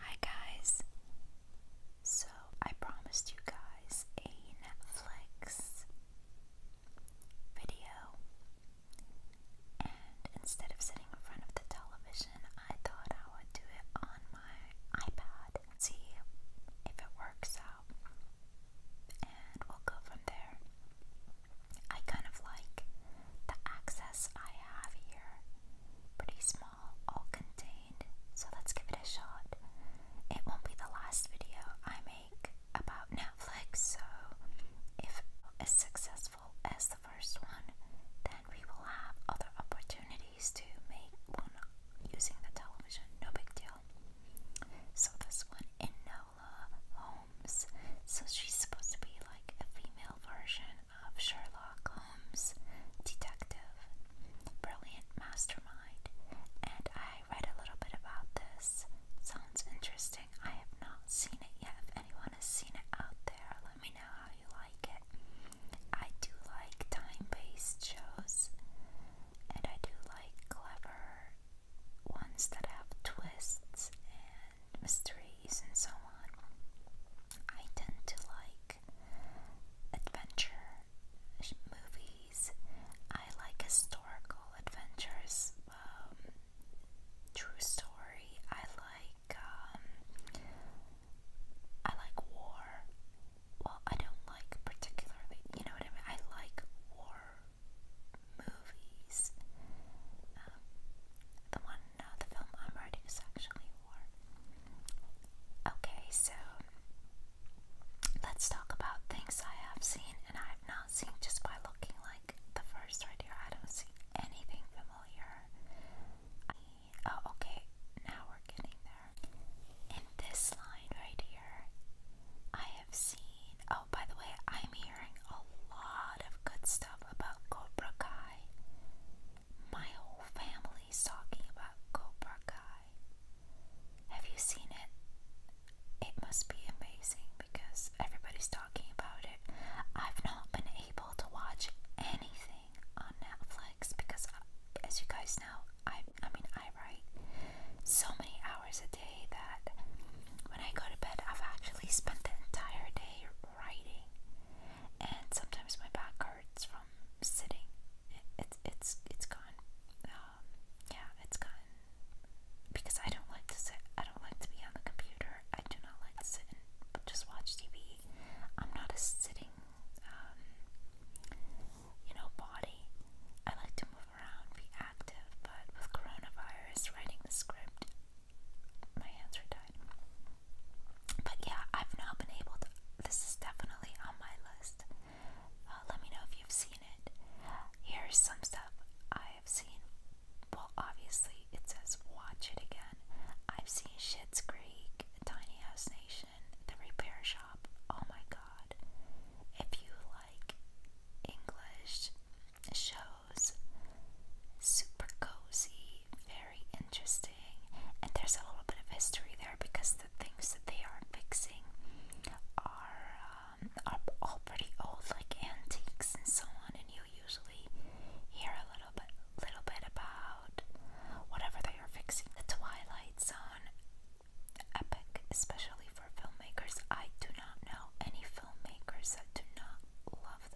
Hi guys! So, I promised you guys a Netflix video, and instead of sitting in front of the television, I thought I would do it on my iPad see if it works out, and we'll go from there. I kind of like the access I have here. Pretty small, all contained. So let's give it a shot. It won't be the last video I make about Netflix, so if as successful as the first one, then we will have other opportunities to make one using the television. No big deal. So this one, Enola so she's supposed to be like a female version of Sherlock Holmes, detective, brilliant mastermind. And I read a little bit about this. Sounds interesting. I have not seen it yet. If anyone has seen it out there, let me know how you like it. I do like time based shows, and I do like clever ones that have twists mysteries and so on. I tend to like adventure movies. I like historical adventures, um, true story. I like um, I like war. Well, I don't like particularly. You know what I mean? I like war movies. Um, the one no, the film I'm writing is actually war. Okay, so let's talk about things I have seen and I have not seen just by looking like the first right here. I don't see anything familiar. oh, okay, now we're getting there. In this line right here, I have seen. Oh, by the way, I'm hearing a lot of good stuff about Cobra Kai. My whole family's talking about Cobra Kai. Have you seen it? It must be amazing because everybody's talking about it. I've not been able to watch anything on Netflix because, uh, as you guys know, I, I mean, I write so many hours a day that when I go to bed, I've actually spent the entire day writing sitting, and sometimes my back hurts from sitting. It, it, it's it's gone. Um, yeah, it's gone because I don't like to sit. I don't like to be on the computer. I do not like to sit and just watch TV. I'm not a sitting, um, you know, body. I like to move around, be active. But with coronavirus, writing the script, my hands are tied. But yeah, I've not been able to. This is definitely on my list. Uh, let me know if you've seen it. Here's some stuff I have seen. Well, obviously, it says watch it again. I've seen Shit's Creek, Tiny House Nation, The Repair Shop. Oh my god. If you like English shows, those. Super cozy, very interesting, and there's a little bit of history there because the things that they are fixing are um, are all pretty old, like antiques and so on. And you usually hear a little bit, little bit about whatever they are fixing. The Twilight Zone, epic, especially for filmmakers. I do not know any filmmakers that do not love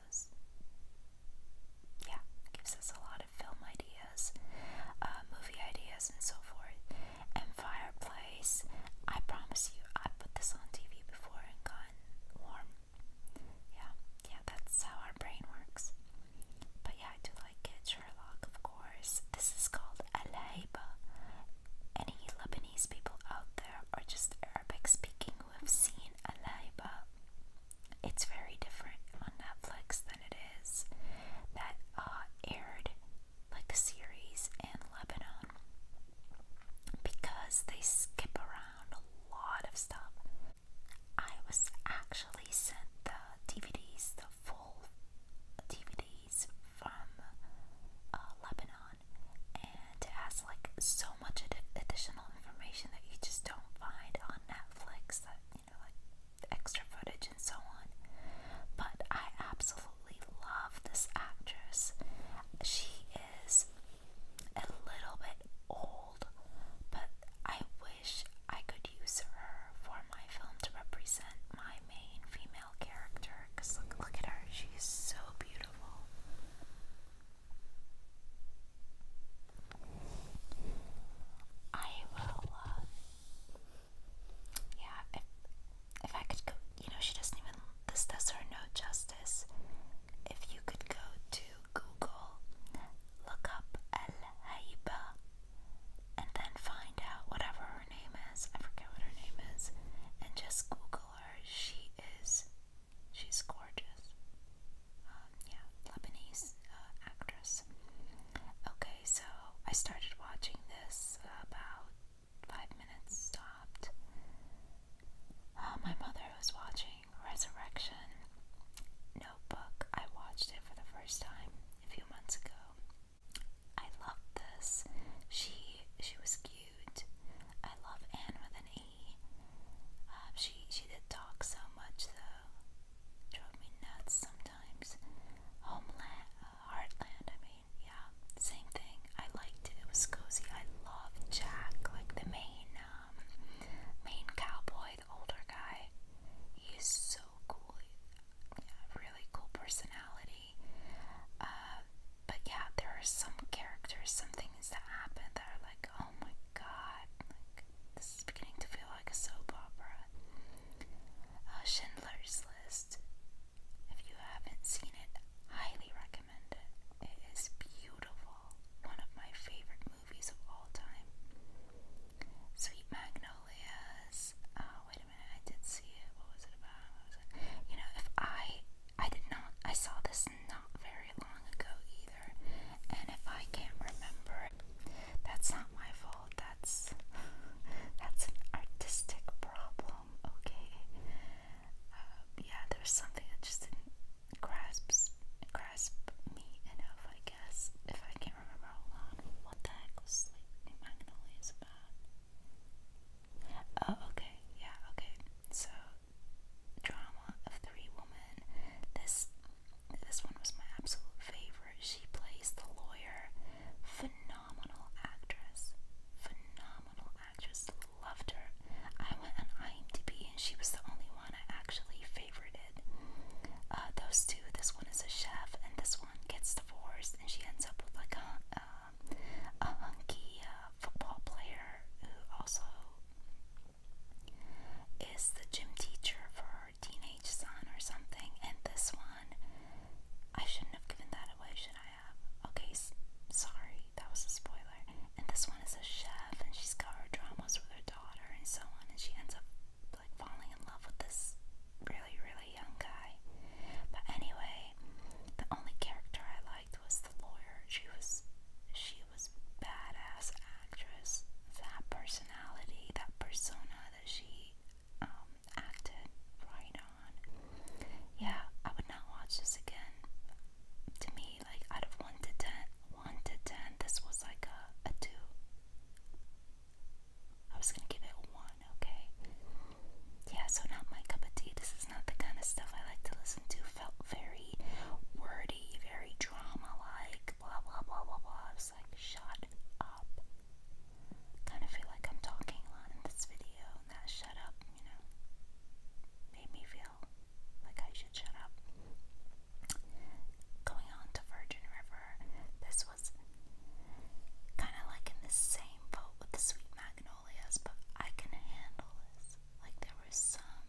yeah, gives us a lot of film ideas, uh, movie ideas, and so forth. And fireplace. I promise you, I put this on TV before and got warm. Yeah, yeah, that's how our brain works. But yeah, I do like it. Sherlock, of course. This is called Alayba. Any Lebanese people out there or just Arabic speaking who have seen Alayba it's very different on Netflix than it is that uh, aired like a series in Lebanon because they skip around a lot of stuff. I was actually sent the DVDs, the full DVDs from uh, Lebanon, and as like so much additional information that you just don't find on Netflix that you know like extra footage and so on. But I absolutely love this actress. She is a little bit old, but I wish I could use her for my film to represent my main female character. Cause look, at her; she's so beautiful. I will, uh, yeah, if, if I could go, you know, she doesn't even, this does her no justice. If you could go to Google, look up El Haiba, and then find out whatever her name is, I forget what her name is, and just Google her. She is She's gorgeous. Um, yeah, Lebanese uh, actress. Okay, so I started watching this about five minutes stopped. Uh, my mother was watching Resurrection Notebook. I watched it for the first time a few months ago. I loved this. She she was cute. I love Anne with an E. Um, she she did talk so much though, drove me nuts sometimes. Homeland, uh, Heartland. I mean, yeah, same thing. I liked it. It was cozy. I loved Jack, like the main um, main cowboy, the older guy. He so cool. Yeah, really cool personality. Uh, but yeah, there are some characters, some things that happen that are like, oh my god, like, this is beginning to feel like a soap opera. Uh, Schindler's List. If you haven't seen it, highly recommend it. It is beautiful. One of my favorite movies of all time. Sweet Magnolias. Oh, wait a minute. I did see it. What was it about? You know, if I I did not, I saw this not very long ago either. And if I can't remember, that's not my fault. That's, that's an artistic problem, okay? Um, yeah, there's something that just didn't me enough, I guess. If I can't remember, hold on. What the heck was Sleeping Magnolias about? Oh, okay. Yeah, okay. So, drama of three women. This this one was my absolute favorite. She plays the lawyer. Phenomenal actress. Phenomenal actress. Loved her. I went on IMDb and she was the only one I actually favorited. Uh, those two. This one is a chef and this one gets divorced and she ends up with like a, uh, a hunky uh, football player who also is the gym teacher for her teenage son or something. And this one, I shouldn't have given that away, should I have? Okay, sorry, that was a spoiler. And this one is a chef, and she's got her dramas with her daughter and so on, and she ends up like falling in love with this really, really young guy. But anyway, the only character I like liked was the lawyer. She was she was badass actress. That personality, that persona that she um, acted right on. Yeah, I would not watch this again. To me, like out of one to ten, one to ten, this was like a a two. I was gonna give it one, okay? Yeah, so not my cup of tea. This is not the kind of stuff I like to listen listen felt very wordy, very drama like, blah blah blah blah blah. I was like, shut up. Kind of feel like I'm talking a lot in this video, that shut up, you know, made me feel like I should shut up. Going on to Virgin River, this was kind of like in the same boat with the Sweet Magnolias, but I can handle this. Like there was some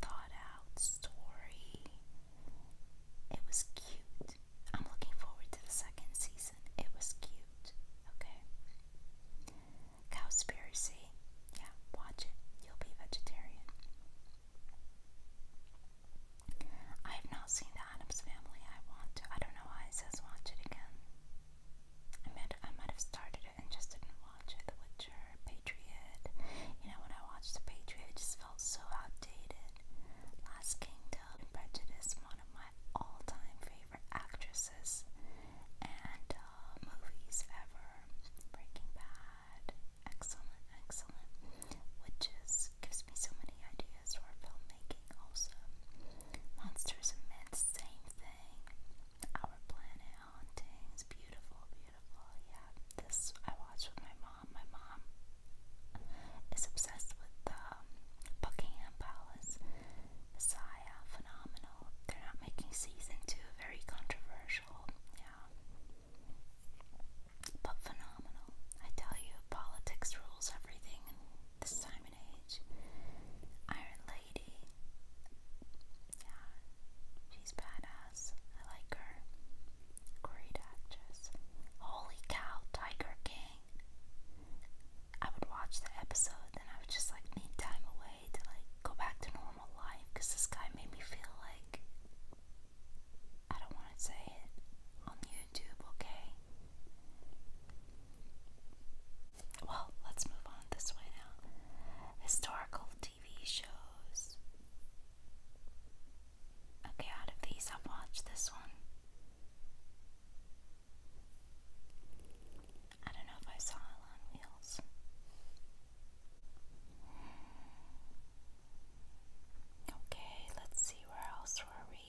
thought out story. It was cute. I'm looking forward to the second season. It was cute. Okay. Cowspiracy. Yeah, watch it. You'll be vegetarian. I have not seen the Adams Family. I want to. I don't know why it says watch it again. I might I might have started started just didn't watch it. The Witcher, Patriot. You know, when I watched The Patriot, just felt so outdated. Last Kingdom, and Prejudice, one of my all time favorite actresses and uh, movies ever. Breaking Bad. Excellent, excellent. which just gives me so many ideas for filmmaking, also. Monsters and Men, same thing. Our Planet Hauntings. Beautiful, beautiful. Yeah, this I watched with my mom. My mom is obsessed with the um, Buckingham Palace. Messiah, phenomenal. They're not making season two. Very controversial. Yeah. But phenomenal. I tell you, politics rules everything in this time and age. Iron Lady. Yeah, she's badass. I like her. Great actress. Holy cow, Tiger King. I would watch the episode, then I would just like need time away to like go back to normal life because this guy made me feel like I don't want to say it on YouTube, okay? Well, let's move on this way now. Historical TV shows. Okay, out of these, I've watched this one. I don't know if I saw it wheels. Okay, let's see where else were we.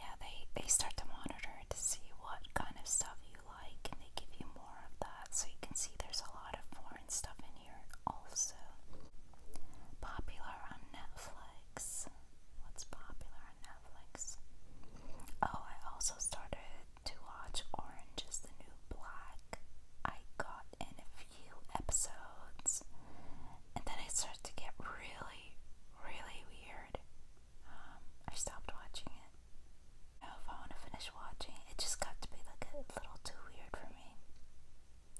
Yeah, they they start to monitor to see what kind of stuff you like and they give you more of that. So you can see there's a lot of foreign stuff in here also. Popular on Netflix. What's popular on Netflix? Oh, I also started to watch Orange is the New Black. I got in a few episodes and then it started to get really, really weird. Um, I stopped watching it if I want to finish watching. It just got to be like a little too weird for me.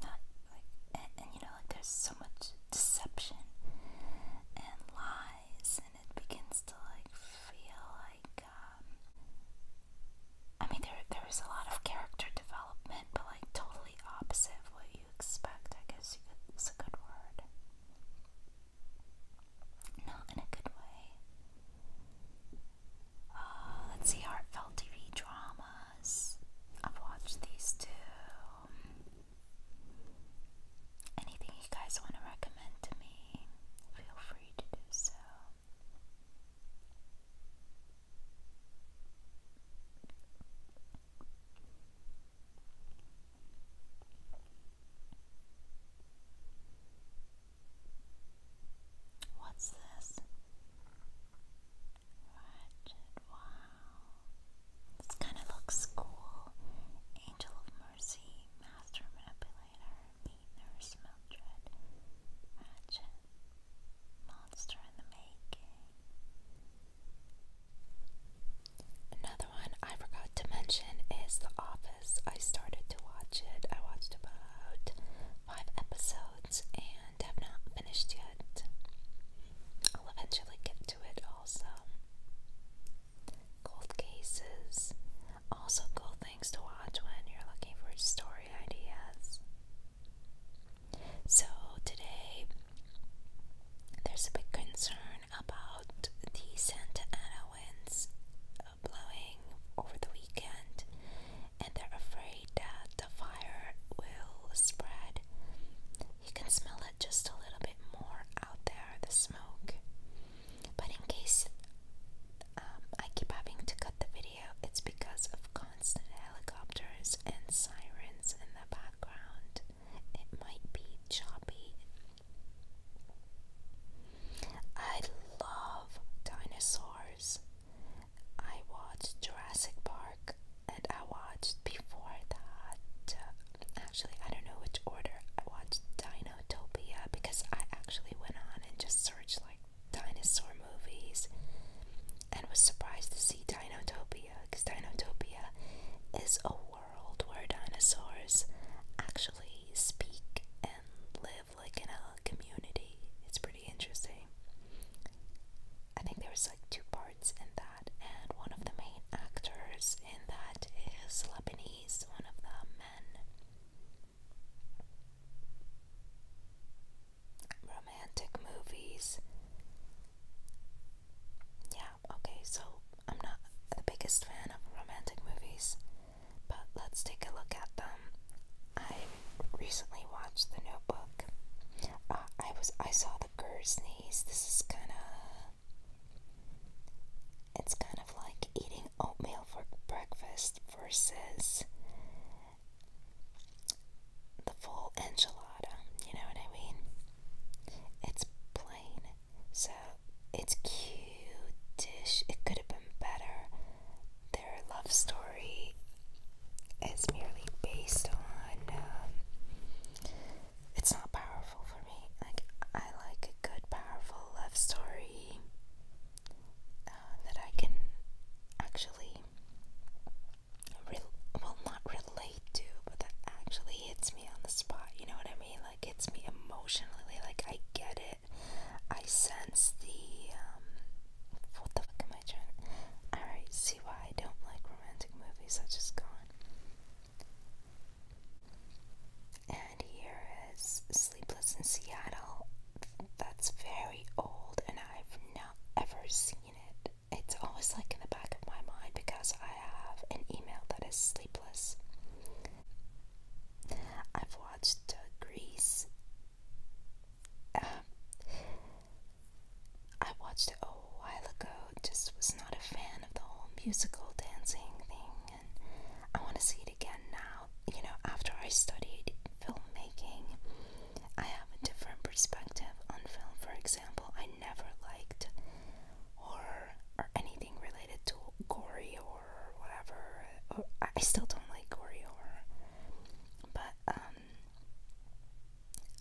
Not like, and, and you know, like there's so much deception and lies, and it begins to like feel like, um, I mean, there there is a lot of character development, but like totally opposite of what you expect. I guess you could, is a good word. Not in a good way. Uh, let's see, heartfelt TV dramas. I've watched these two. Anything you guys want to recommend to me, feel free to do so. What's this? Ratchet, wow. This kind of looks cool. Angel of Mercy, Master Manipulator, Meat Nurse Mildred, Ratchet, Monster in the Making. Another one I forgot forgot to mention is The Office. I started to watch it. I watched about five episodes and have not finished yet. I'll eventually get to it also. Cold cases. Also, cool things to watch when you're looking for story ideas. So, today there's a big concern about the Santa Ana winds blowing over the weekend, and they're afraid that the fire will spread. You can smell it just a little bit more out there, the smoke. But in case um, I keep having to cut the video, it's because of constant helicopters and sirens in the background. It might be choppy I love dinosaurs. I watched Jurassic Park and I watched before that. actually, I don't know which order. I watched Dinotopia because I actually went on and just searched like dinosaur movies and was surprised to see Dinotopia because Dinotopia is a world where dinosaurs actually speak live like in a community. It's pretty interesting. I think there's like two parts in that, and one of the main actors in that is Lebanese, one of the men. Romantic movies. Yeah, okay, so I'm not the biggest fan of romantic movies. But let's take a look at them. I recently watched The Notebook. Uh, I was I saw the knees. This is kind of it's kind of like eating oatmeal for breakfast versus the full enchilada. You know what I mean? It's plain so it's cute dish. It could have been better. Their love story is merely based on. Um, it's not powerful for me. Like I like a good, powerful love story uh, that I can actually, well, not relate to, but that actually hits me on the spot. You know what I mean? Like hits me emotionally. Like I get it. I sense the um, what the fuck am I trying? Alright, see why I don't like romantic movies, I just gone. And here is Sleepless in Seattle. That's very old and I've not ever seen it. It's always like in the back of my mind because I have an email that is sleepless. I've watched uh, Greece. Um, I watched it a while ago, just was not a fan of the whole musical dancing thing, and I want to see it again now. You know, after I studied filmmaking, I have a different perspective on film. For example, I never liked horror or anything related to gory or horror, whatever. I still don't like gory horror, but um,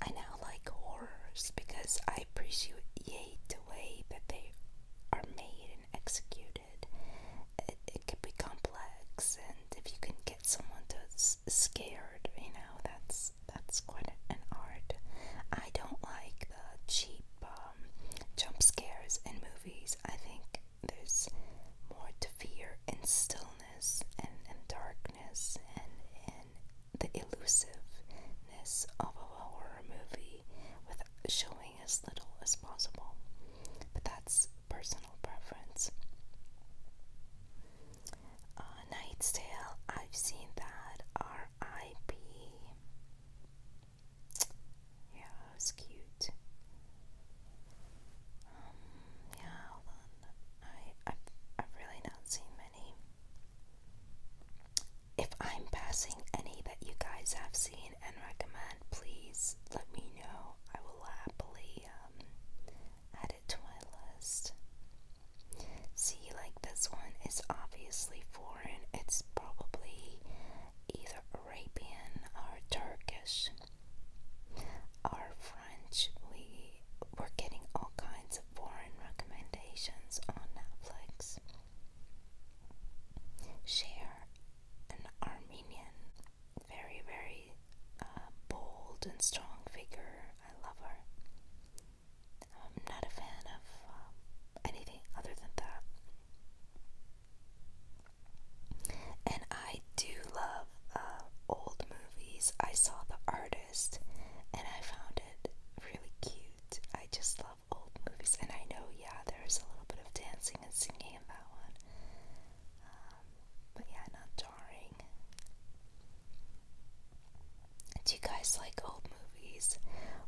I now like horrors because I appreciate the way that they are made and executed. It, can be complex, and if you can get someone to scared, you know that's that's quite an art. I don't like the cheap um, jump scares in movies. I think there's more to fear in stillness and, and darkness and, and the elusiveness of a horror movie with showing as little as possible. But that's personal preference. Uh, Night's Tale, I've seen that. R.I.P. Yeah, it was cute. Um, yeah, I, i I've really not seen many. If I'm passing any that you guys have seen and recommend, please let me know. I will happily um, add it to my list. See, like this one is obviously foreign. It's probably either Arabian are Turkish are French. We were getting all kinds of foreign recommendations on Netflix. Share an Armenian, very, very uh, bold and strong figure. I love her. I'm not a fan of um, anything other than that. And I do love uh, old movies. I saw The Artist and I found it really cute. I just love old movies. And I know, yeah, there's a little bit of dancing and singing in that one. Um, but yeah, not jarring. Do you guys like old movies?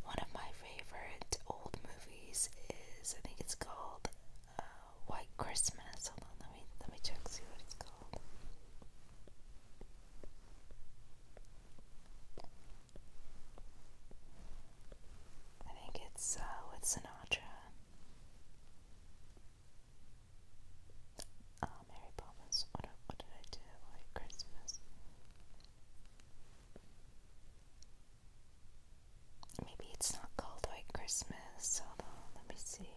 One of my favorite old movies is I think it's called uh, White Christmas. Hold on, let me let me check see what it's called. I think it's uh, with Sinatra. Uh, Mary Poppins. what did I do? White Christmas. Maybe it's not called White Christmas, although, let me see.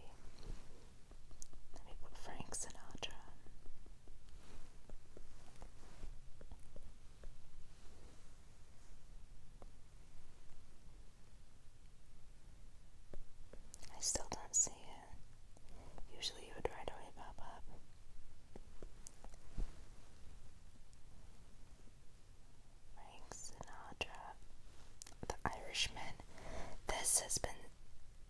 Let Frank Sinatra. I still don't see it. Usually it would right away pop up. Frank Sinatra, The Irishman. This has been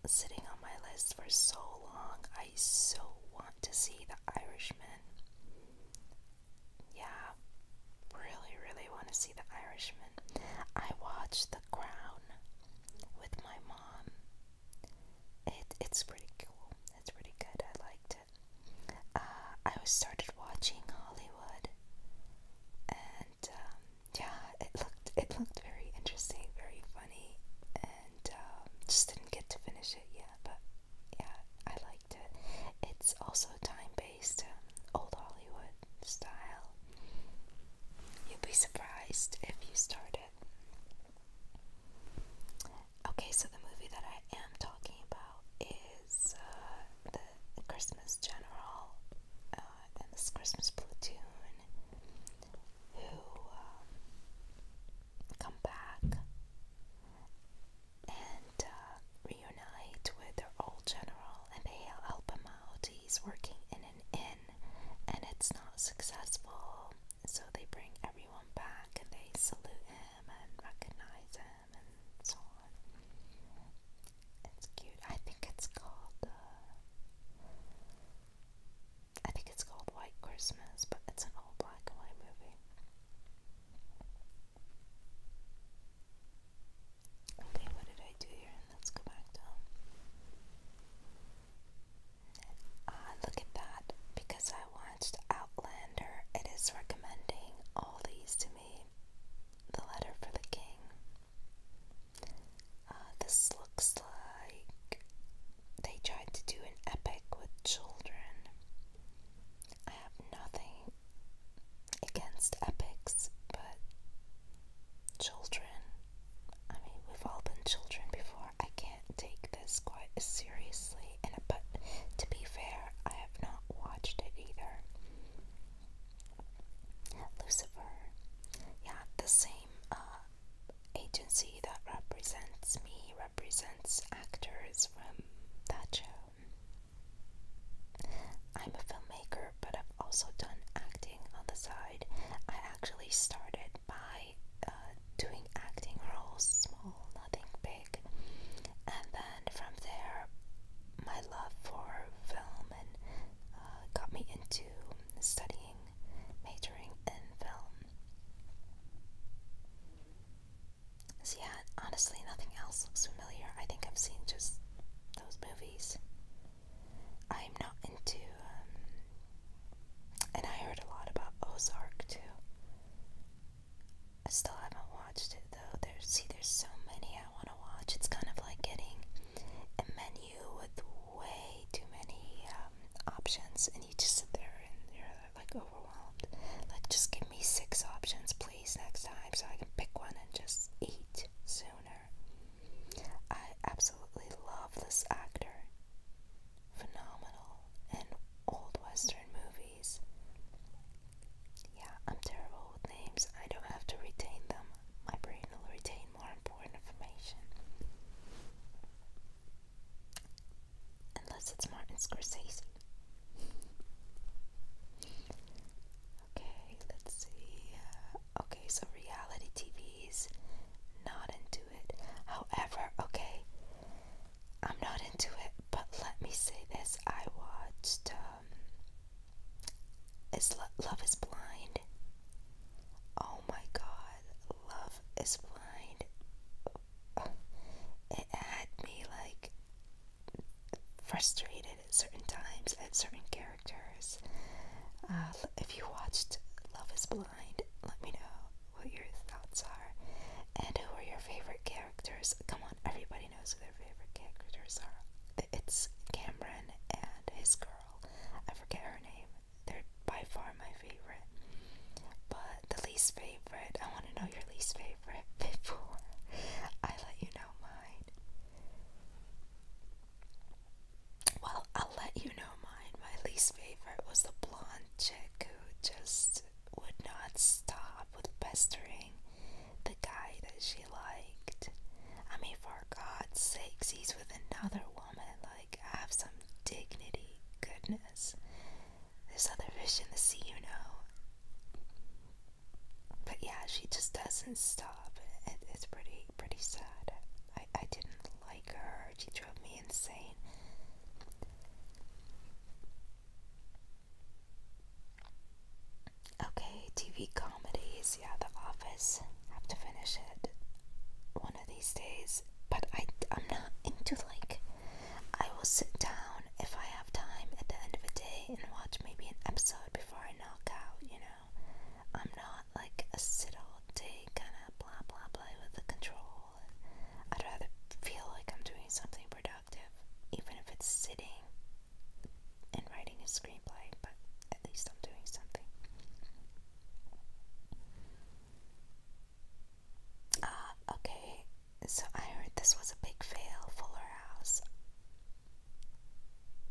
sitting on my list for so long. I so want to see The Irishman. Yeah, really, really want to see The Irishman. I watched The Crown with my mom. It it's pretty cool. It's pretty good. I liked it. Uh, I started watching Hollywood, and um, yeah, it looked it looked very interesting, very funny, and um, just didn't get to finish it yet. But yeah, I liked it. It's also time based, um, old Hollywood style. you would be surprised if you started. Okay, so the movie that I am talking about is uh, the Christmas General uh, and this Christmas platoon who um, come back and uh, reunite with their old general, and they help him out. He's working in an inn, and it's not successful. So they bring everyone back and they salute him and recognize him and so on. It's cute. I think it's called, uh, I think it's called White Christmas, but it's an old black white movie. Okay, what did I do here? let's go back down. Ah, look at that. Because I watched Outlander, it is recommending all these to me. The Letter for the King. Uh, this looks like they tried to do an epic with children. I have nothing against epics, but children. I mean, we've all been children before. I can't take this quite as seriously seriously. And but to be fair, I have not watched it either. Lucifer, yeah, the same uh, agency that represents me represents actors from that show. I'm a filmmaker, but I've also done acting on the side. I actually started by uh, doing acting roles, small, nothing big. And then from there, my love for film and uh, got me into studying, majoring in film. So yeah, honestly, nothing else looks familiar. I think I've seen just those movies. I'm not into, um, and I heard a lot about Ozark too. I still haven't watched it though. There's see there's so many I wanna watch. It's kind of like getting a menu with way too many um, options and you just sit there and you're like overwhelmed. Like just give me six options please next time so I can pick one and just eat sooner. I absolutely love this actor. Phenomenal in old western movies. Yeah, I'm terrible with names. I don't have to retain them. My brain will retain more important information. Unless it's Martin Scorsese. Okay, let's see. Uh, okay, so reality TV's not into it. However, okay, I'm not into it, but let me say this: I watched um, "Is Love Is Blind." Oh my God, "Love Is Blind." It had me like frustrated at certain times at certain characters. Uh, if you watched "Love Is Blind," let me know what your thoughts are and who are your favorite characters characters. Come on, everybody knows who their favorite characters are. It's Cameron and his girl. I forget her name. They're by far my favorite. But the least favorite, I want to know your least favorite before I let you know mine. Well, I'll let you know mine. My least favorite was the blonde chick who just would not stop with pestering the guy that she liked. I mean, for God's sakes, he's with another woman. Like, I have some dignity. Goodness. There's other fish in the sea, you know. But yeah, she just doesn't stop. it's pretty, pretty sad. I, I didn't like her. She drove me insane. Okay, TV comedies, yeah, The Office. Have to finish it one of these days. But I, I'm not into like, I will sit down if I have time at the end of the day and watch maybe an episode before I knock out, you know? I'm not like a sit all day kind of blah blah blah with the control. I'd rather feel like I'm doing something productive even if it's sitting and writing a screenplay, but at least I'm doing something. Ah, okay, so I heard this was a big fail, Fuller House.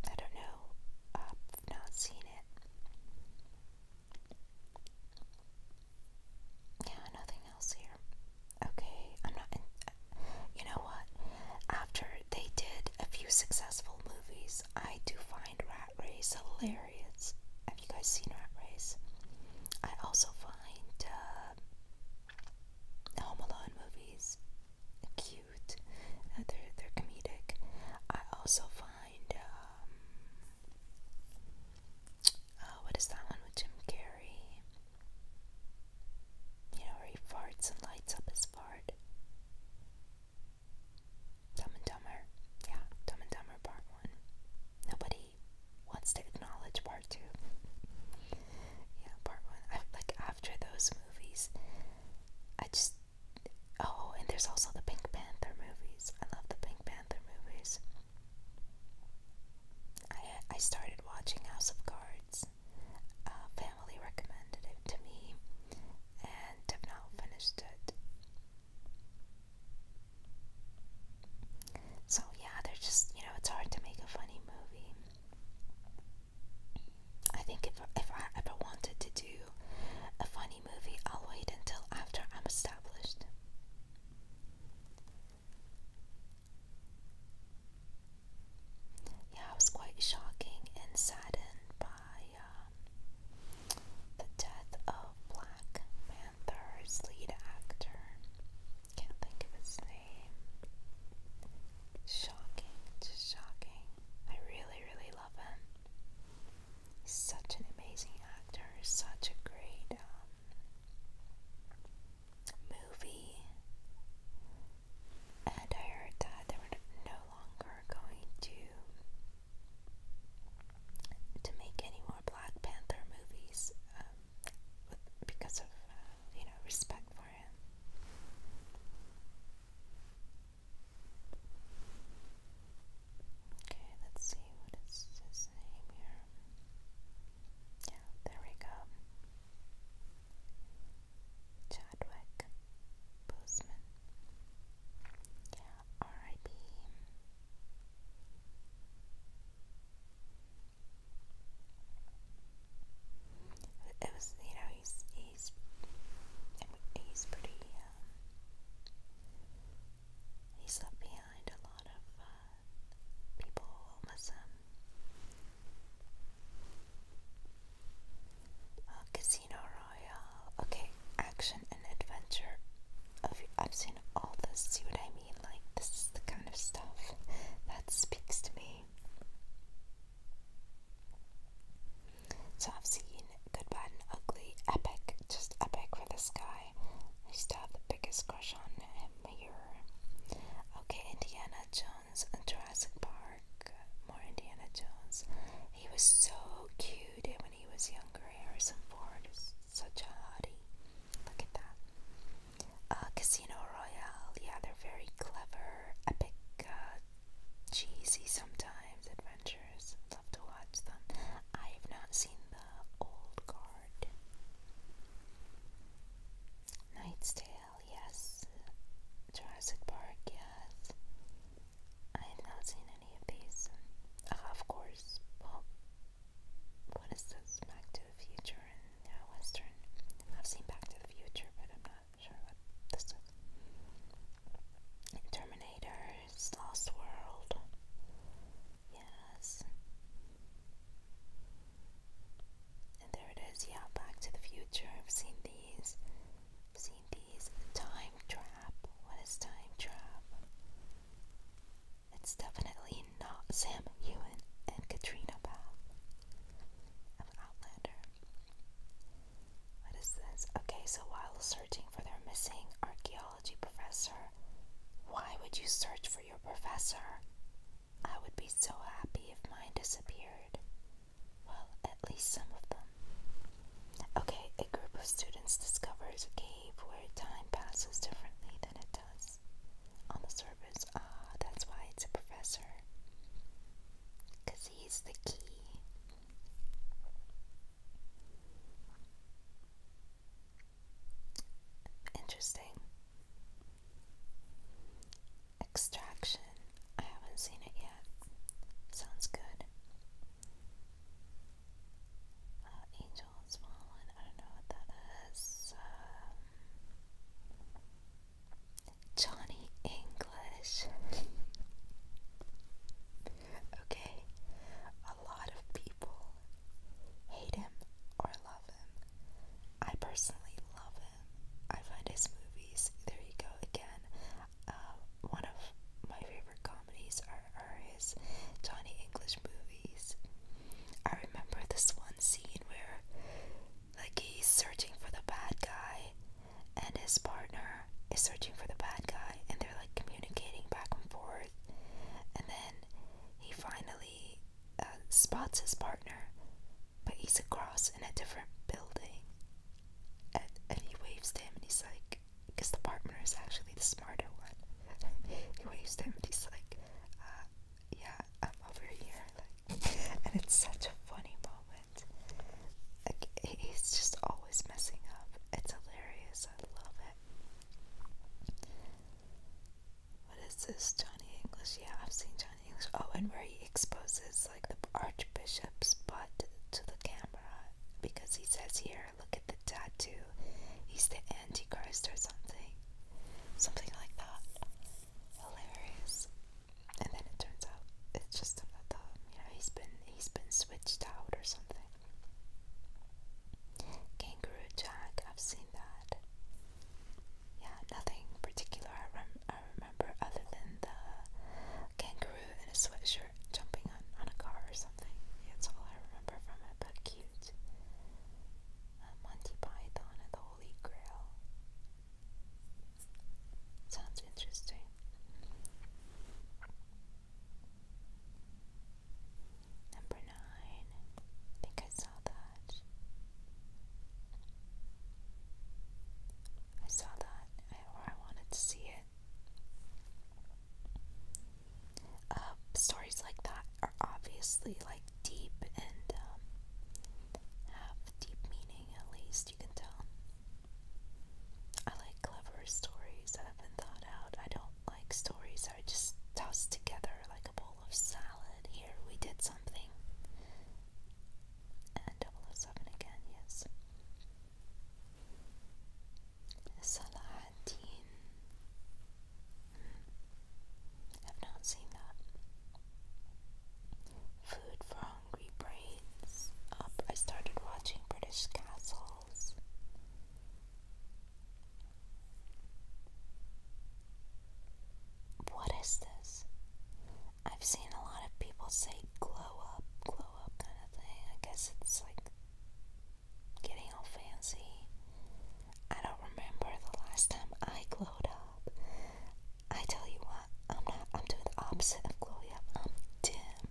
I don't know, I've not seen it. Yeah, nothing else here. Okay, I'm not. you know what? After they did a few successful movies, I do find Rat Race hilarious. Have you guys seen Rat Race? I also find uh, Home Alone movies cute. Uh, they're they're comedic. I also find um, uh, what is that one with Jim Carrey? You know, he farts and lights up his fart. Dumb and Dumber. Yeah, Dumb and Dumber Part 1. Nobody wants to acknowledge Part 2. yeah, Part 1. like, after those movies, I just. Oh, and there's also the Pink Panther movies. I love the Pink Panther movies. I I started watching House of Cards. family recommended it to me, and have now finished it. So yeah, they're just you know it's hard to make a funny movie. I think if if I ever wanted to do a funny movie, I'll wait until after I'm established. Yeah, I was quite shocking and saddened by um, the death of Black Panther's lead actor. Can't think of his name. Shocking, just shocking. I really, really love him. He's such an amazing actor, such a great um, movie, and I heard that they were no longer going to to make any more Black Panther movies um, because of uh, you know respect for him. Okay, let's see what is his name here. Yeah, there we go. Chadwick Boseman. Yeah, R.I.P. It was, you know, he's he's he's pretty. Um, he's left behind a lot of people will uh, Casino Royale. Okay, action and adventure. I've, I've seen all this. See what I mean? Like, this is the kind of stuff that speaks to me. So I've seen Good, Bad, and Ugly, epic, just epic for this guy. I used to have the biggest crush on Mayer. Okay, Indiana Jones and Jurassic Park. More Indiana Jones. He was so cute when he was younger. Harrison Ford is such a hottie. Look at that. Uh, Casino Royale. Yeah, they're very clever, epic, uh, cheesy sometimes adventures. Love to watch them. I have not seen the old guard. Knight's Tale, yes. Jurassic Park, yes. I have not seen any of these. Uh, of course, what is this? Back to the Future and Western. I've seen Back to the Future, but I'm not sure what this is. Terminator's Lost World. Yes. And there it is, yeah, Back to the Future. I've seen these. seen these. Time Trap. What is Time Trap? It's definitely not Sam Ewan, and Katrina Bow. of Outlander. What is this? Okay, so while searching for their missing archaeology professor, why would you search for your professor? I would be so happy if mine disappeared. Well, at least some of them. Okay, a group of students discovers a cave where time passes differently than it does on the surface. Ah, that's why it's a professor. Because he's the key. Interesting. Extraction. I haven't seen it yet. Sounds good. Uh, Angels Fallen. I don't know what that is. Um, Johnny English. okay. A lot of people hate him or love him. I personally love him. I find his movies, there you go again. Uh, one of my favorite comedies are, are his Johnny English movies. I remember this one scene where, like, he's searching for the bad guy, and his partner is searching for the bad guy, and they're like communicating back and forth. And then he finally uh, spots his partner, but he's across in a different building. And, and he waves to him and he's like, because the partner is actually the smarter one. he waves to him and he's like, uh, yeah, I'm over here. Like, and it's such a funny moment. Like, he's just always messing up. It's hilarious. I love it. What is this? Johnny English. Yeah, I've seen Johnny English. Oh, and where he exposes like the Archbishop's butt to the camera because he says, Here, look at the tattoo. He's the Antichrist or something. Something like that. Hilarious. And then it turns out it's just another, you know, he's been he's been switched out or something. Kangaroo Jack, I've seen that. Yeah, nothing particular I, rem I remember other than the kangaroo in a sweatshirt jumping on, on a car or something. That's all I remember from it, but cute. Uh, Monty Python and the Holy Grail. Sounds interesting nine. I think I saw that. I saw that, I wanted to see it. Uh, stories like that are obviously like deep and um, have deep meaning. At least you can tell. I like clever stories that have been thought out. I don't like stories that are just tossed together like a bowl of salad. Here we did something. And 007 again, yes. Salahaddin. Hmm. I've not seen that. Food for Hungry Brains. Up. I started watching British Castles. What is this? I've seen a lot of people say glow up, glow up kind of thing. I guess it's like getting all fancy. I don't remember the last time I glow up. I tell you what, I'm not, I'm doing the opposite of glow up. I'm dim.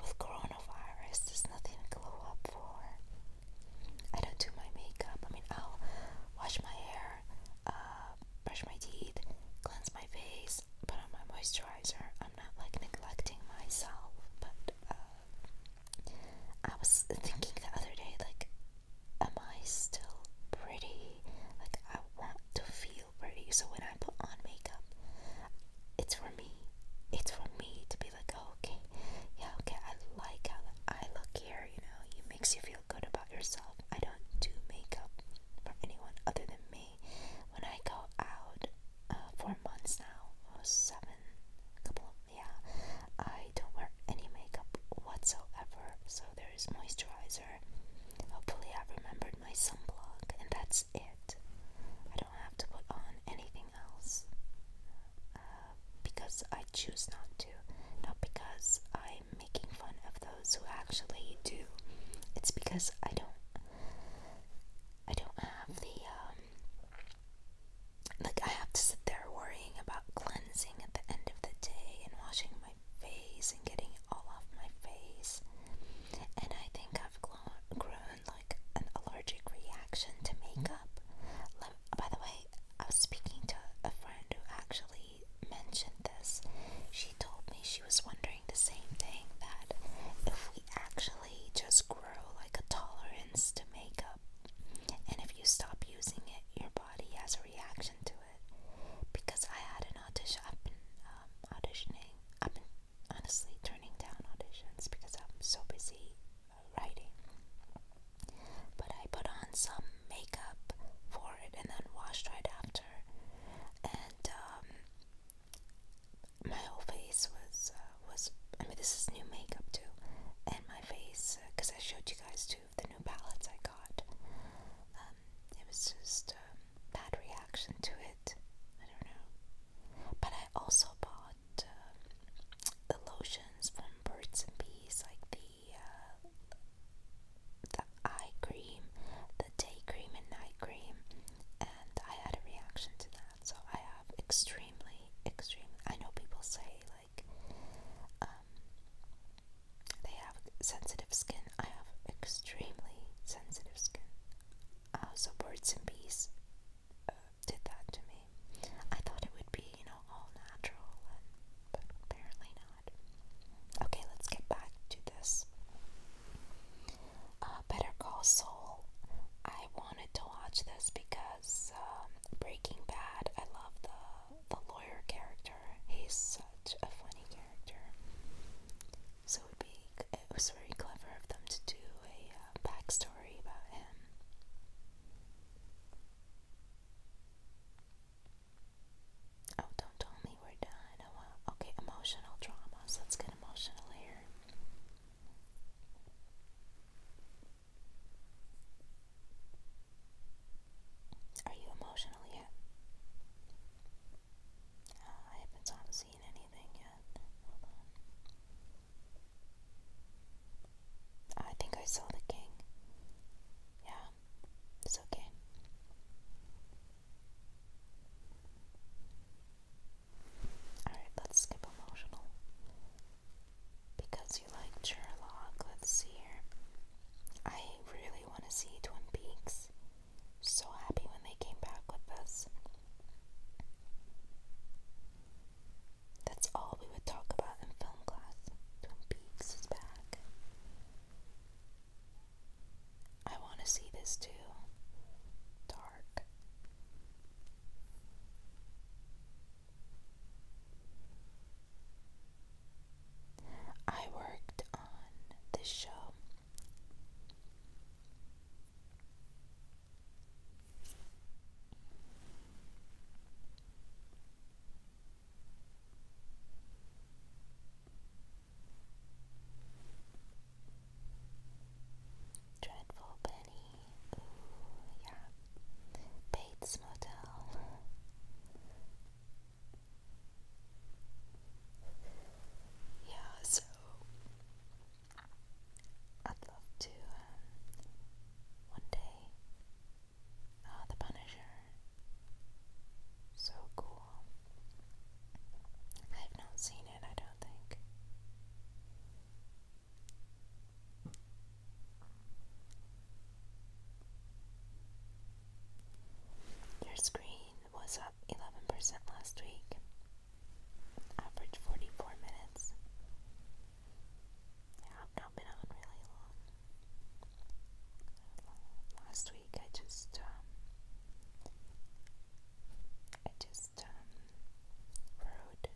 With coronavirus, there's nothing to glow up for. I don't do my makeup. I mean, I'll wash my hair uh, brush my teeth, cleanse my face, put on my moisturizer. I'm not like neglecting myself, but uh, I was thinking the other day, like, am I still pretty? Like, I want to feel pretty. So when I put on makeup, it's for me. It's for me to be like, oh, okay, yeah, okay, I like how I look here, you know, you makes you feel good about yourself. I don't do makeup for anyone other than me. When I go out uh, for months now, or seven, couple yeah, I don't wear any makeup whatsoever. So there is moisturizer. Hopefully, I remembered my sunblock, and that's it. I don't have to put on anything else uh, because I choose not to, not because I time making fun of those who actually do. It's because I don't, I don't have the, um, like I have to sit there worrying about cleansing at the end of the day and washing my face and getting it all off my face. And I think I've grown like an allergic reaction to makeup. By the way, I was speaking to a friend who actually she mentioned this, she told me she was wondering the same thing that if we actually just grow like a tolerance to makeup, and if you stop using it, your body has a reaction to it. Because I had an audition, um, auditioning, I've been honestly turning down auditions because I'm so busy uh, writing. But I put on some makeup for it and then washed right after. And um, my whole face was uh, was I mean this is new makeup too, and my face because uh, I showed you guys two of the new palettes I got. Um, it was just um, bad reaction to it. I don't know. But I also bought um, the lotions from Birds and Bees, like the the eye cream, the day cream and night cream, and I had a reaction to that. So I have extremely, extremely. I know people say like um, they have sensitive skin. I have extremely sensitive skin. Uh, so birds and bees uh, did that to me. I thought it would be, you know, all natural, and, but apparently not. Okay, let's get back to this. Uh, Better Call Saul. I wanted to watch this because um, Breaking Bad. I love the the lawyer character. He's such a funny character. So it would be it was very clever of them to do a uh, backstory about him. Oh, don't tell me we're done. Oh, well. Okay, emotional dramas. Let's get emotional here. Are you emotional yet? Uh, I haven't seen anything yet. Ah, I think I saw the king. Yeah, it's okay. Alright, let's skip emotional. Because you liked Sherlock, let's see here. I really want to see Twin Peaks. So happy when they came back with this. That's all we would talk about in film class Peeves is back. I want to see this too. Dark. I worked on this show. Dreadful Penny. yeah. Bates Motel. yeah, so I'd love to um, one day Ah, the Punisher. So cool. I've not seen it, I don't think. Your screen was up 11% last week, average 44 minutes. I've not been on really last week I just um, I just um, wrote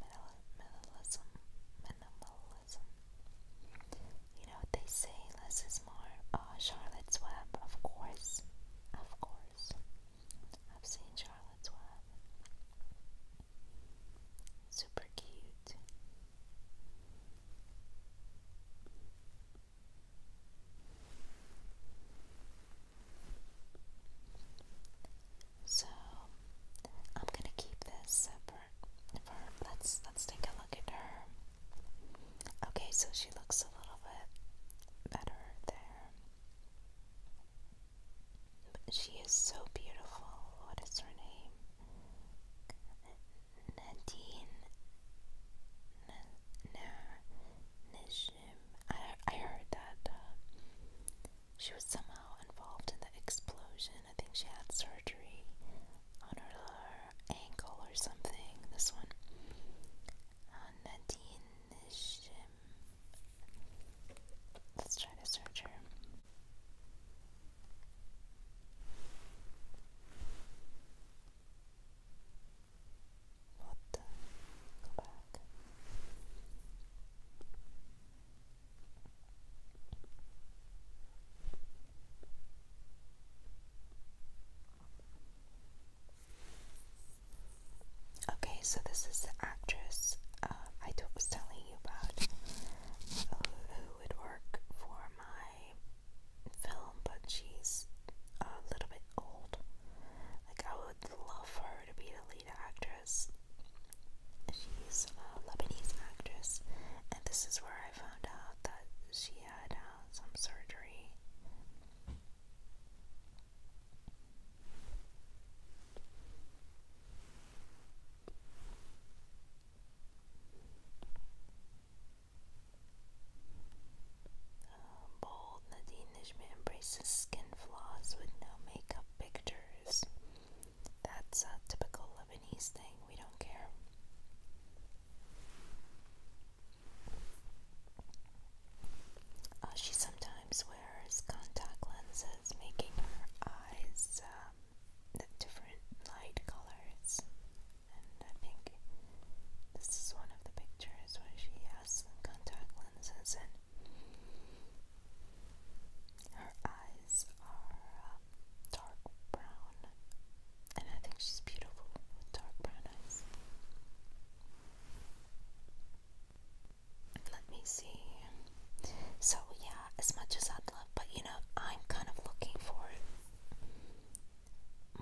minimalism, minimalism. You know they say less is more. Ah, Charlotte's Web, of course, of course. I've seen Charlotte's Web. Super cute. So I'm gonna keep this separate for let's let's take a look at her. Okay, so she looks a little bit better there. she is so beautiful. What is her name? Nadine Nishim. I, I heard that uh, she was somehow involved in the explosion. I think she had surgery on her ankle or something. This one. Uh, Nadine Nishim. Let's try to search her. Water, go back. Okay, so this is the actress uh, I was telling you about uh, who would work for my film, but she's a little bit old. Like, I would love for her to be the lead actress. She's a Lebanese actress, and this is where I found out that she had uh, some surgery. Um, bold Nadine Nijmi embraces skin flaws with no makeup pictures. That's a typical Lebanese thing, we don't care. Uh, she sometimes wears contact lenses, making her eyes um, the different light colors, and I think this is one of the pictures where she has contact lenses and her eyes are uh, dark brown, and I think she's beautiful with dark brown eyes. Let me see. So, yeah, as much as I'd love, but you know, I'm kind of looking for it.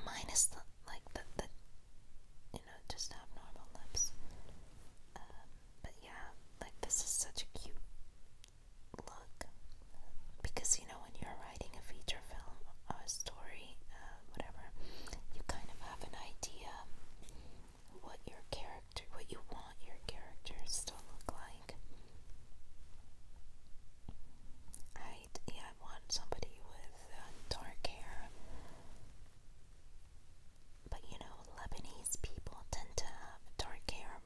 Minus the, like, the, the, you know, just have normal lips. Um, but yeah, like, this is such a cute look. Because, you know, when you're writing a feature film a story, uh, whatever, you kind of have an idea what your character character, what you want your characters to look like. I yeah, I want somebody with uh, dark hair, but you know, Lebanese people tend to have dark hair,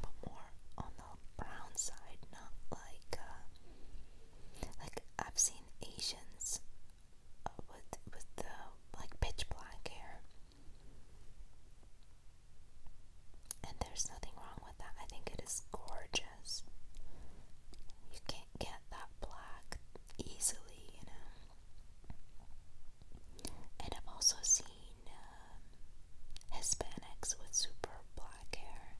but more on the brown side, not like uh, like I've seen Asians uh, with with the like pitch black hair. And there's nothing wrong with that. I think it is gorgeous. You can't get that black easily, you know. And I've also seen um, Hispanics with super black hair.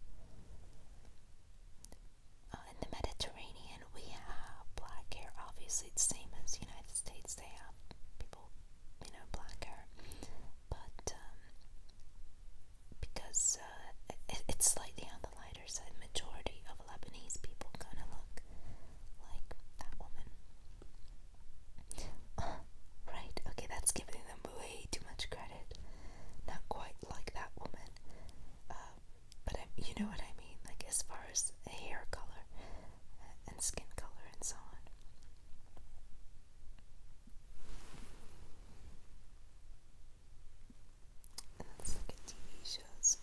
Uh, in the Mediterranean, we have black hair. Obviously, it's the same as the United States. They have people, you know, black hair but um, because uh, it's slightly on the lighter side, majority of Lebanese people kind of look like that woman. Uh, right, okay, that's giving them way too much credit. Not quite like that woman, uh, but I, you know what I mean, like as far as hair color and skin color and so on. Let's look at TV shows.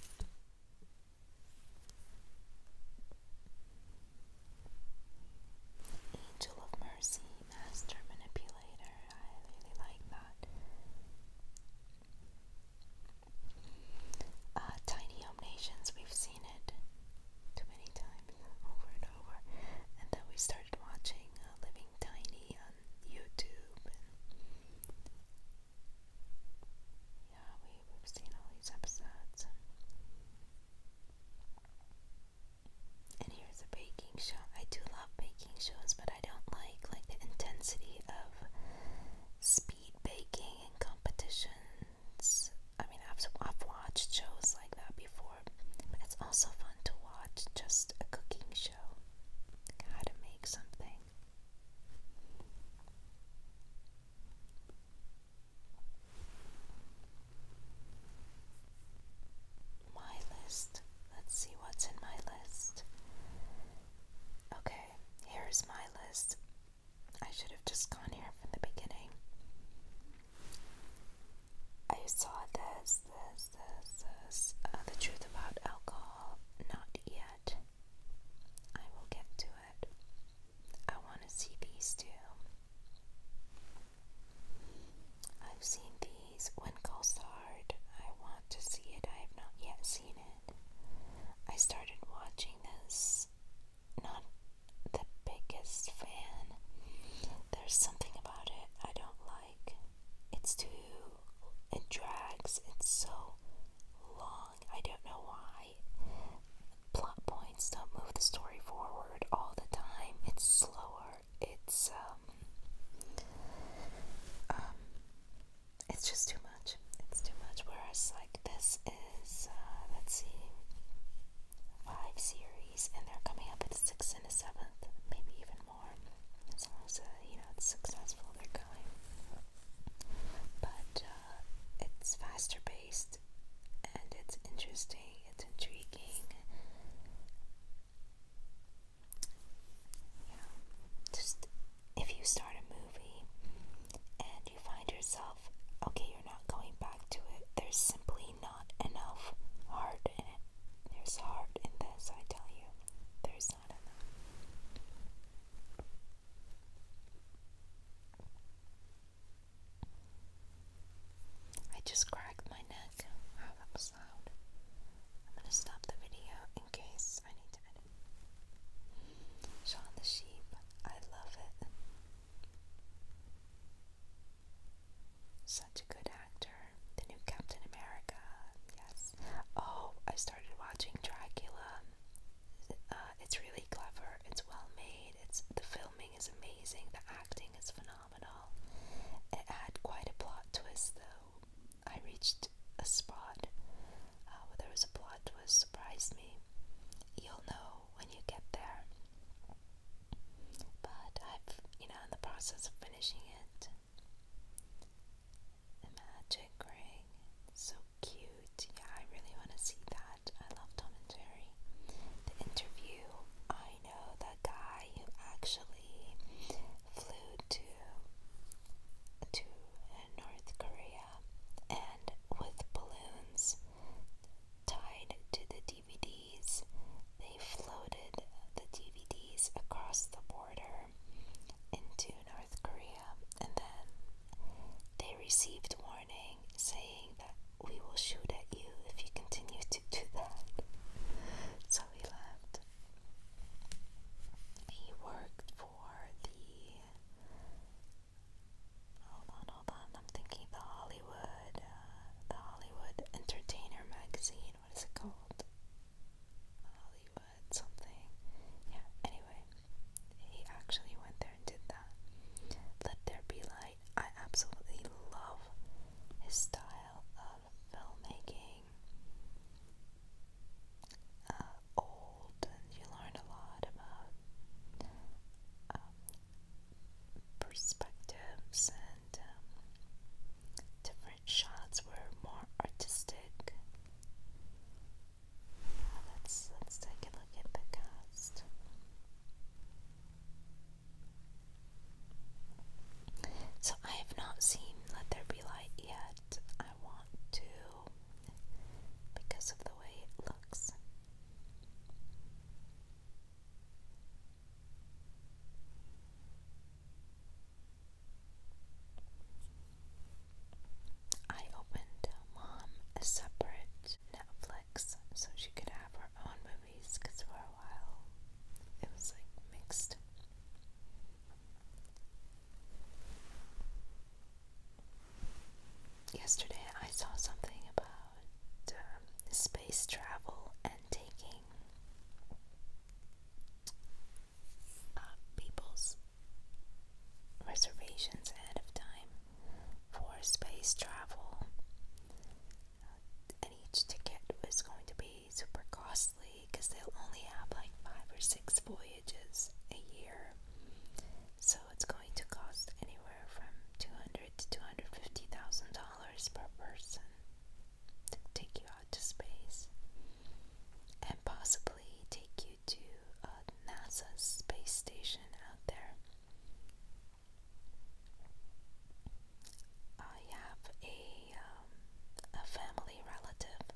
Angel of Mercy, Master Manipulator. I really like that. Uh, Tiny Home Nations, we've seen it too many times over and over. And then we started watching uh, Living Tiny on YouTube. yeah, we, we've seen all these episodes. And here's a baking show. I do love baking shows, but I don't like like the intensity of speed baking and competition I mean, I've, I've watched shows like that before, but it's also fun to watch just a cooking show. How to make something. My list. Let's see what's in my list. Okay, here's my list. I should have just gone here from the beginning. I saw this, this, this, this, uh, the truth about alcohol. Not yet. I will get to it. I want to see these two. I've seen these when Colsard. I want to see it. I have not yet seen it. I started watching this not the biggest fan. There's something about it I don't like. It's too. It drags. It's so long. I don't know why. Plot points don't move the story forward all the time. It's slower. It's um. Um. It's just too much. It's too much. Whereas like this is. Uh, let's see five series, and they're coming up with six and a seventh, maybe even more. As long as uh, you know it's successful, they're going. But uh, it's faster paced, and it's interesting. It's intriguing. You know, just if you start a movie and you find yourself, okay, you're not going back to it. There's simply not enough heart in There's heart in this, I tell you. There's not enough. I just cracked my neck. Wow, that was loud. I'm gonna stop the video in case I need to edit. Shaun the Sheep, I love it. Such a good actor. The new Captain America. Yes. Oh, I started watching Dracula. Uh, it's really clever. It's well made. It's the filming is amazing. The acting is phenomenal. It had quite a plot twist, though. I reached a spot uh, where there was a plot twist surprised me. You'll know when you get there. But i am you know, in the process of finishing it, magic ring, so cute. Yeah, I really want to see that. I love Tom and Jerry. The interview, I know that guy who actually flew to to North Korea and with balloons tied to the DVD they floated the DVDs across the border into North Korea, and then they received warning saying that we will shoot at you if you continue to do that. So he left. He worked for the Hold on, hold on. I'm thinking the Hollywood, uh, the Hollywood Entertainer magazine. What is it called? Hollywood something. Yeah. Anyway, he actually went there and did that. Let there be light. I absolutely love his style of filmmaking. Uh, old, you learn a lot about um, perspectives and um, different shots were more artistic. Uh, let's let's take a look at the cast. So I have not seen Let There Be Light yet. I want to because of the way it looks. I opened mom a separate Netflix so she could have her own movies because for a while it was like mixed. Yesterday I saw something about um, space travel and taking uh, people's reservations ahead of time for space travel. Uh, and each ticket was going to be super costly because they'll only have like five or six voyages a year. So it's going to cost anywhere from $200 to two hundred fifty thousand dollars per person to take you out to space and possibly take you to uh, NASA's space station out there. I have a um, a family relative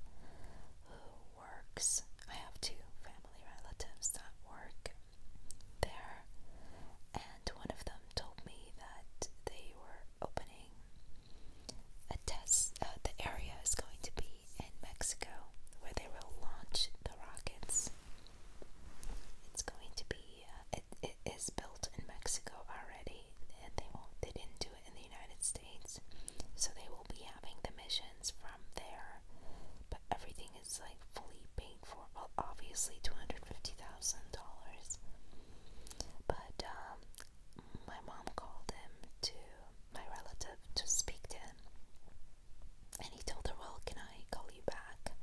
who works. I have two family relatives that work there, and one of them told me that they were opening a test. Uh, the area is going to be in Mexico where they will launch the rockets. It's going to be. Uh, it is built in Mexico already, and they They didn't do it in the United States, so they will be having the missions from there. But everything it's like fully paid for. Well, obviously, two hundred fifty thousand dollars. But um, my mom called him to my relative to speak to him, and he told her, "Well, can I call you back?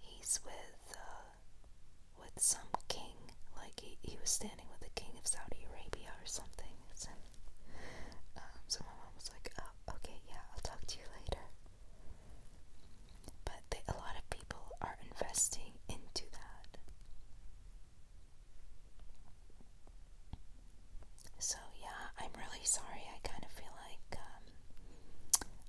He's with uh, with some king. Like he he was standing with the king of Saudi Arabia or something." So, um, so my mom was like, "Oh, okay, yeah, I'll talk to you later." But a lot of people are investing into that. So, yeah, I'm really sorry. I kind of feel like um,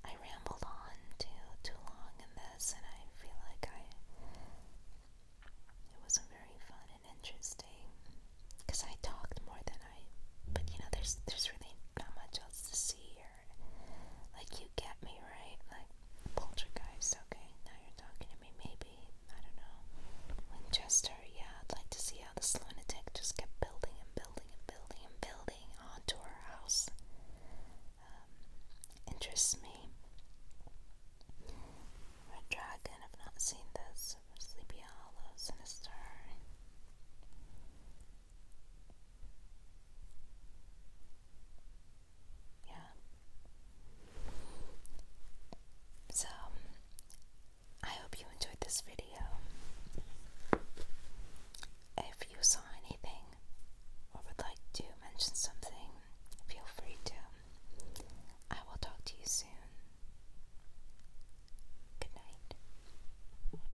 I rambled on too, too long in this, and I feel like I. It wasn't very fun and interesting because I talked more than I. But you know, there's there's really not much else to see here. Like, you get me, right? Like, poltergeist, okay, now you're talking to me. Maybe, I don't know. Winchester, yeah, I'd like to see how this lunatic just kept building and building and building and building onto our house. Um, interests me. Red Dragon, I've not seen this. Sleepy Hollow, Sinister. Yeah. So, I hope you enjoyed this video. If you saw anything or would like to mention something, feel free to. I will talk to you soon. Good night.